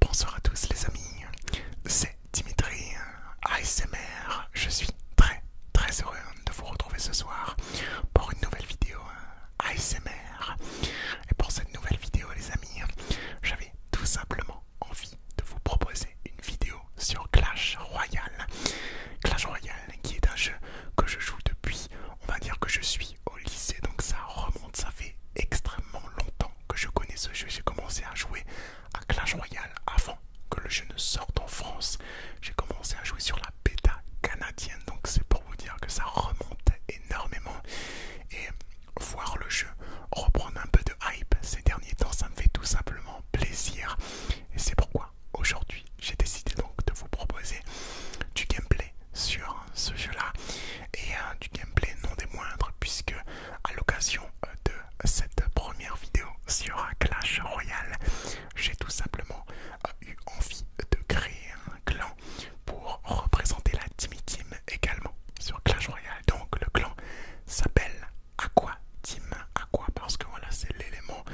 Bonsoir à tous les amis, c'est Dimitri ASMR, je suis très très heureux de vous retrouver ce soir pour une nouvelle vidéo ASMR. Et pour cette nouvelle vidéo les amis, j'avais tout simplement envie de vous proposer une vidéo sur Clash Royale. Clash Royale qui est un jeu que je joue depuis, on va dire que je suis au lycée, donc ça remonte, ça fait extrêmement longtemps que je connais ce jeu. J'ai commencé à jouer à Clash Royale avant que le jeu ne sorte en France. J'ai commencé à jouer sur la bêta canadienne, donc c'est pour vous dire que ça remonte énormément. Et voir le jeu reprendre un peu de hype ces derniers temps, ça me fait tout simplement plaisir. Et c'est pourquoi aujourd'hui j'ai décidé donc de vous proposer du gameplay sur ce jeu-là et euh, du gameplay non des moindres puisque à l'occasion euh, de cette première vidéo sur Clash Royale, j'ai tout simplement euh, eu envie de créer un clan pour représenter la Timmy Team également sur Clash Royale. Donc le clan s'appelle Aqua Team Aqua parce que voilà c'est l'élément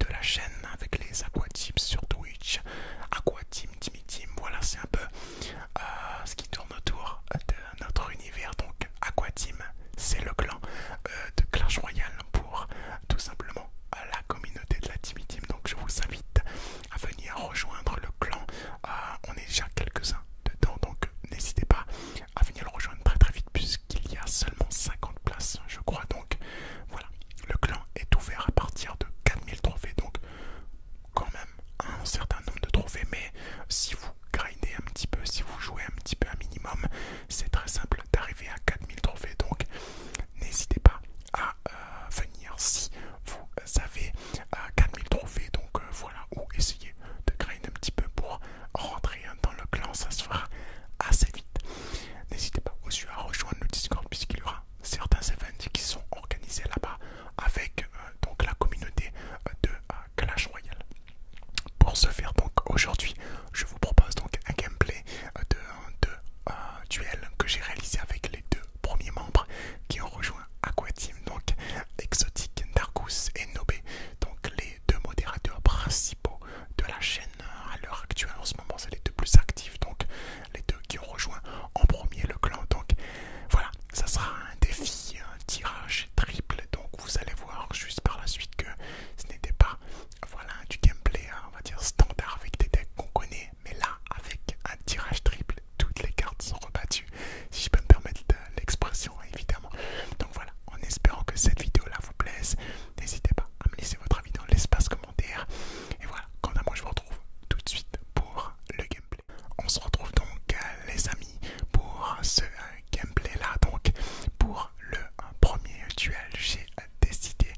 de la chaîne avec les Aqua Tips sur Twitch. Aqua Team, Timmy Team, voilà c'est un peu euh, ce qui tourne autour de notre univers. Donc Aqua Team, c'est le clan euh, de Clash Royale pour tout simplement la communauté de la Timmy Team. Donc je vous invite à venir rejoindre le clan. Euh, on est déjà quelques-uns dedans donc n'hésitez pas à ah, venir le rejoindre très très vite puisqu'il y a seulement 50 places je crois donc voilà le clan est ouvert à partir de 4000 trophées donc quand même un certain nombre de trophées mais si vous grindez un petit peu si vous jouez un petit peu un minimum c'est très simple d'arriver à 4000 trophées donc n'hésitez pas à euh, venir si vous avez 4000 euh, trophées donc euh, voilà ou essayez de grind un petit peu pour rentrer dans le clan, ça se fera assez vite. N'hésitez pas aussi à rejoindre le Discord puisqu'il y aura certains events qui sont organisés là-bas avec euh, donc la communauté euh, de euh, Clash Royale. Pour ce faire donc aujourd'hui, je vous propose donc un gameplay de, duel que j'ai réalisé avec les deux premiers membres qui ont rejoint Aquatim, donc Exotic, Darkus et Nobé, donc les deux modérateurs principaux de la chaîne à l'heure actuelle en ce moment, c'est les deux plus actifs, donc les deux qui ont rejoint en premier le clan. Donc voilà, ça sera un défi, un tirage triple, donc vous allez voir juste par la suite que ce n'était pas voilà, du gameplay, hein, on va dire standard avec des decks qu'on connaît, mais là avec un tirage triple, toutes les cartes sont rebattues. Si je peux me permettre l'expression évidemment. Donc voilà, en espérant que cette vidéo là vous plaise, n'hésitez pas à me laisser votre avis dans l'espace commentaire. Et voilà, quant à moi je vous retrouve tout de suite pour le gameplay. On se retrouve donc euh, les amis pour ce euh, gameplay là. Donc pour le euh, premier duel, j'ai décidé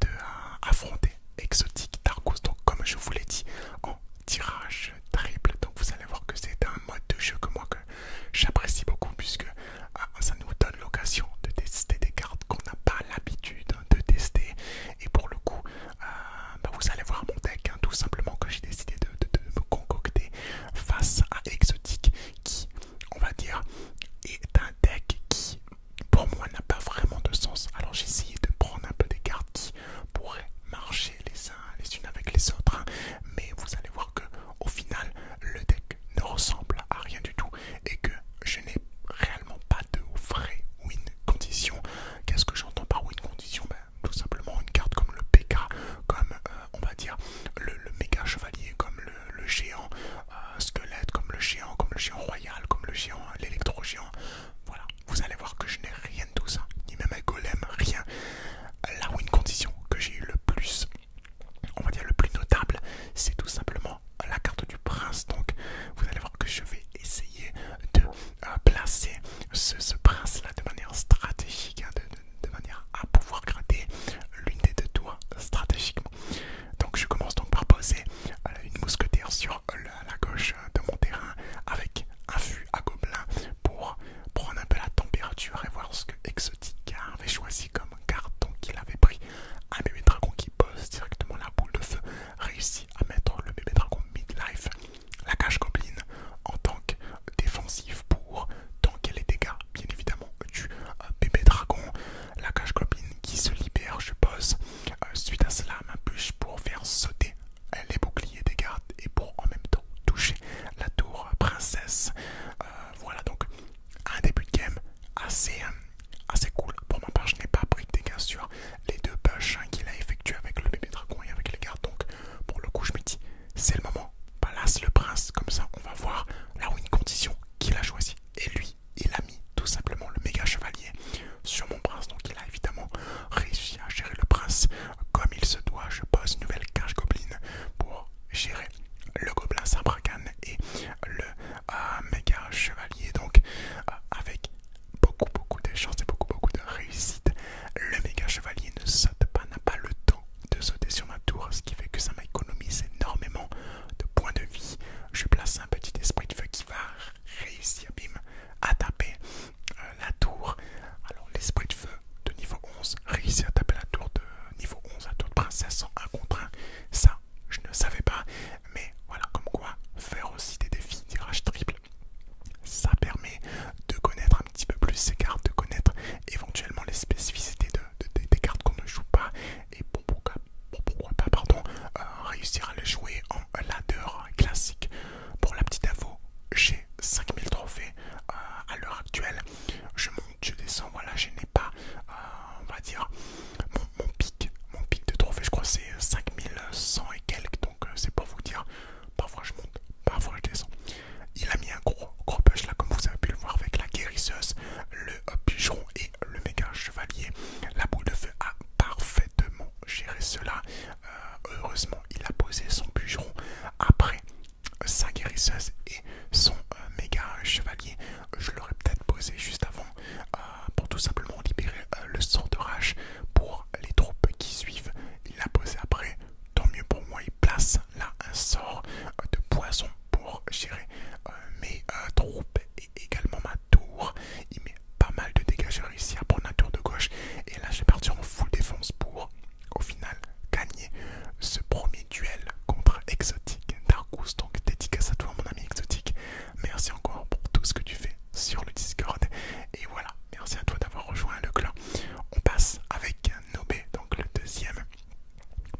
de affronter Exotic Darkos Donc comme je vous l'ai dit en tirage triple. Donc vous allez voir que c'est un mode de jeu que moi que j'apprécie beaucoup puisque ah, ça nous donne l'occasion de tester des cartes qu'on n'a pas l'habitude hein, de tester. Et pour le coup, euh, bah, vous allez voir mon deck hein, tout simplement que j'ai décidé de, me concocter face à Exotic qui, on va dire, est un deck qui pour moi n'a pas vraiment de sens. Alors j'ai essayé de prendre un peu des cartes qui pourraient marcher les les unes avec les autres, hein. mais vous allez voir que au final le deck ne ressemble à rien du tout et que je n'ai réellement pas de vrai win condition. Qu'est-ce que j'entends par win condition ben, Tout simplement une carte comme le PK, comme euh, on va dire le, méga chevalier, comme le, géant euh, squelette, comme le géant, comme le géant royal, comme le géant, euh, l'électro-géant. Voilà, vous allez voir que je n'ai rien de tout ça, ni même un golem, rien. Là où une condition que j'ai eu le plus, on va dire le plus notable, c'est tout simplement la carte du prince. Donc vous allez voir que je vais essayer de euh, placer ce, prince-là de manière stratégique, hein, de, manière à pouvoir gratter l'une des deux tours stratégiquement. Donc je commence donc par poser euh, une mousquetaire sur la, gauche de mon terrain avec un fût à gobelin pour prendre un peu la température et voir ce que Exotica avait choisi comme carton qu'il avait pris. Un bébé dragon qui pose directement la boule de feu réussit à mettre le bébé dragon midlife, la cage goblin, en tant que défensive pour tanker les dégâts, bien évidemment, du euh, bébé dragon. La cage goblin qui se libère, je pose. Euh, suite à cela, ma bûche pour faire sauter les boucliers des gardes et pour en même temps toucher la tour princesse. Euh, voilà donc un début de game assez, euh, assez cool. Pour ma part, je n'ai pas pris de dégâts sur les deux push hein, qu'il a effectué avec le bébé dragon et avec les gardes. Donc pour le coup, je me dis c'est le moment. Palace le prince, comme ça on va voir la une condition qu'il a choisi. Et lui, il a mis tout simplement le méga chevalier sur mon prince. Donc il a évidemment réussi à gérer le prince comme il se doit, je pose une nouvelle cage goblin pour gérer le gobelin Sabrakan et le euh, méga chevalier. Donc, euh, avec beaucoup, beaucoup de chance et beaucoup, beaucoup de réussite, le méga chevalier ne saute pas, n'a pas le temps de sauter sur ma tour, ce qui fait que ça m'économise énormément de points de vie. Je place un petit esprit de feu qui va réussir, bim, à taper euh, la tour. Alors, l'esprit de feu de niveau 11 réussir à taper la tour de niveau 11, la tour de princesse en 1 contre 1. Ça, je ne savais pas, mais voilà, comme quoi faire aussi des défis tirage triple, ça permet de connaître un petit peu plus ces cartes, de connaître éventuellement les spécificités de, des cartes qu'on ne joue pas, et pourquoi, pas, pardon, euh, réussir à les jouer en ladder classique. Pour la petite info, j'ai 5000 trophées euh, à l'heure actuelle. Je monte, je descends, voilà, je n'ai pas, euh, on va dire, mon, pic, mon pic de trophées, je crois c'est 5100 euh, et quelques, donc c'est pour vous dire, parfois je monte, parfois je descends. Il a mis un gros, gros push là, comme vous avez pu le voir, avec la guérisseuse, le pigeon et le méga chevalier. La boule de feu a parfaitement géré cela, heureusement il a posé son bûcheron après sa guérisseuse et son euh, méga chevalier. Je l'aurais peut-être posé juste avant euh, pour tout simplement libérer euh, le sort de rage pour les troupes qui suivent. Il l'a posé après, tant mieux pour moi. Il place là un sort de poison pour gérer mes troupes et également ma tour. Il met pas mal de dégâts ici à prendre la tour de gauche. Et là, je vais partir en full défense pour, au final, gagner ce premier duel contre exotique' Darkus. Donc, dédicace à toi, mon ami Exotique Merci encore pour tout ce que tu fais sur le Discord. Et voilà, merci à toi d'avoir rejoint le clan. On passe avec Nobé, donc le deuxième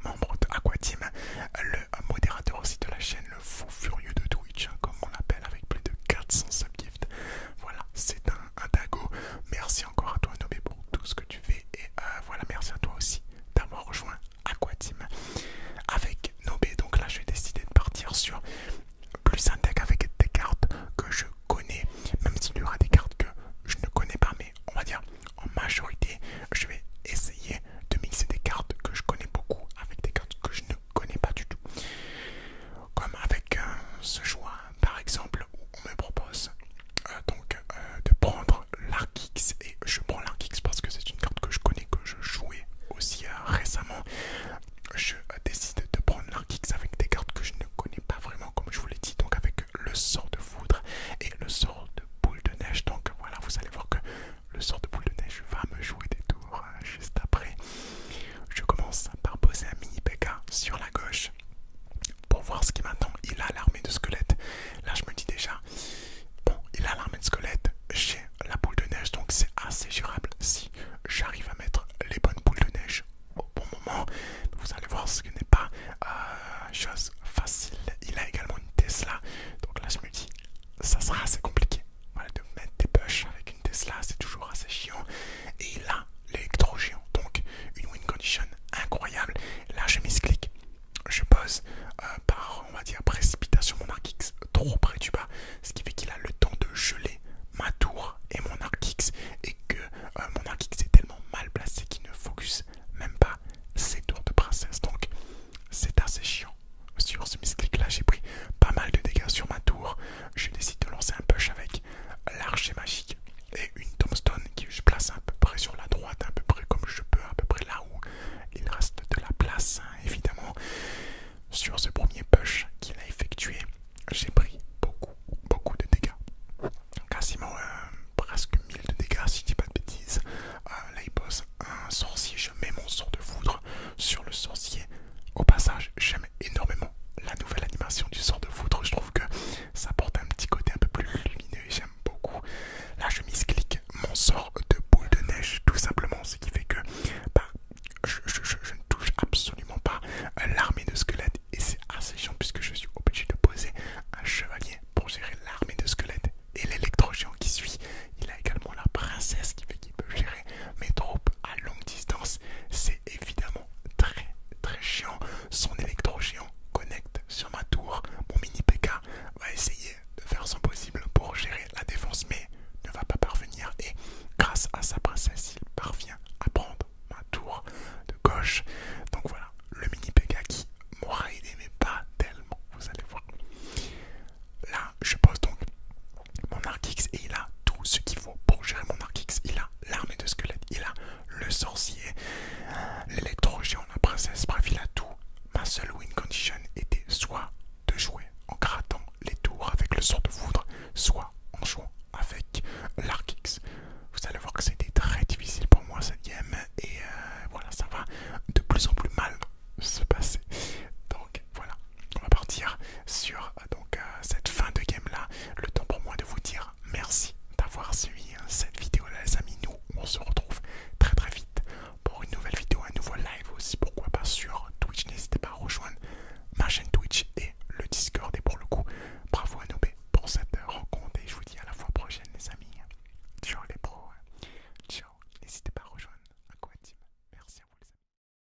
membre de team le modérateur aussi de la chaîne, le fou furieux de Twitch, hein, comme on l'appelle, avec plus de 400 subgifts. Voilà, c'est un un, dago. Merci encore à toi, Nobé, pour tout ce que tu fais. Et euh, voilà, merci à toi aussi d'avoir rejoint Aquatim avec Nobé. Donc là, je vais décider de partir sur plus un deck avec des cartes que je connais, même s'il y aura des cartes que je ne connais pas, mais on va dire en majorité, je vais essayer de mixer des cartes que je connais beaucoup avec des cartes que je ne connais pas du tout. Comme avec euh, ce choix, par exemple, où on me propose euh, donc euh, de prendre l'Arkix et je prends l'Arkix parce que c'est une carte que je connais, que je jouais aussi récemment. Je décide de prendre l'Arkix avec des cartes que je ne connais pas vraiment, comme je vous l'ai dit, donc avec le sort de foudre et le sort de boule de neige. Donc voilà, vous allez voir que le sort de boule de neige va me jouer des tours juste après. Je commence par poser un mini PK sur la gauche pour voir ce qui m'attend. Il a l'armée de squelette. Là, je me dis déjà, bon, il a l'armée de squelette. J'ai la boule de neige, donc c'est assez durable si j'arrive à mettre les bonnes boules de neige au bon moment. Vous allez voir ce qui n'est pas euh, chose facile. Il a également une Tesla, donc là, je me dis, ça sera assez compliqué de mettre des push avec Tesla, c'est toujours assez chiant. Et là, l'électro géant, donc une win condition incroyable. Là, je mis je pose euh, par, on va dire, précipitation mon arc trop près du bas, ce qui fait qu'il a le temps de geler ma tour et mon arc et que euh, mon arc est tellement mal placé qu'il ne focus même pas ses tours de princesse. Donc, c'est assez chiant. Sur ce misclick là, j'ai pris pas mal de dégâts sur ma tour je décide de lancer un push avec l'archer magique et une tombstone que je place à peu près sur la droite, à peu près comme je peux, à peu près là où il reste de la place, hein. évidemment. Sur ce premier push qu'il a effectué, j'ai pris beaucoup, beaucoup de dégâts. Quasiment euh, presque 1000 de dégâts, si je dis pas de bêtises. Euh, là, il pose un sorcier, je mets mon sort de foudre sur le sorcier au passage, j'aime énormément la nouvelle animation du sort de foudre. Je trouve que ça porte un petit côté un peu plus lumineux et j'aime beaucoup. Là, je misclic mon sort de boule de neige, tout simplement, ce qui fait que bah, je, ne touche absolument pas l'armée de squelettes. Et c'est assez chiant puisque je suis obligé de poser un chevalier pour gérer l'armée de squelettes et l'électrogéant qui suit. Il a également la princesse qui fait peut gérer mes troupes à longue distance. C'est évidemment très très chiant. Son électro géant connecte sur ma tour. Mon mini PK va essayer de faire son possible pour gérer la défense, mais ne va pas parvenir. Et grâce à sa princesse, il parvient à prendre ma tour de gauche. Donc voilà, le mini PK qui m'aura aidé, mais pas tellement, vous allez voir. Là, je pose donc mon Arkix et il a tout ce qu'il faut pour gérer mon Arkix. Il a l'armée de squelettes, il a le sorcier, géant, la princesse, bref, il a tout. Ma seule win condition était soit de jouer en grattant les tours avec le sort de foudre, soit en jouant avec l'Arkix. Vous allez voir que c'était très difficile pour moi cette game et euh, voilà, ça va de plus en plus mal se passer. Donc voilà, on va partir sur euh, donc, euh, cette fin de game là. Le temps pour moi de vous dire merci d'avoir suivi hein, cette vidéo là les amis. Nous on se retrouve très très vite pour une nouvelle vidéo, un nouveau live aussi pourquoi pas sur Twitch. N'hésitez pas à rejoindre ma chaîne Twitch et le Discord. Et pour le coup, bravo à Nobé pour cette rencontre et je vous dis à la fois prochaine les amis. Ciao les pros. Ciao. N'hésitez pas à rejoindre Team. Merci à vous les amis.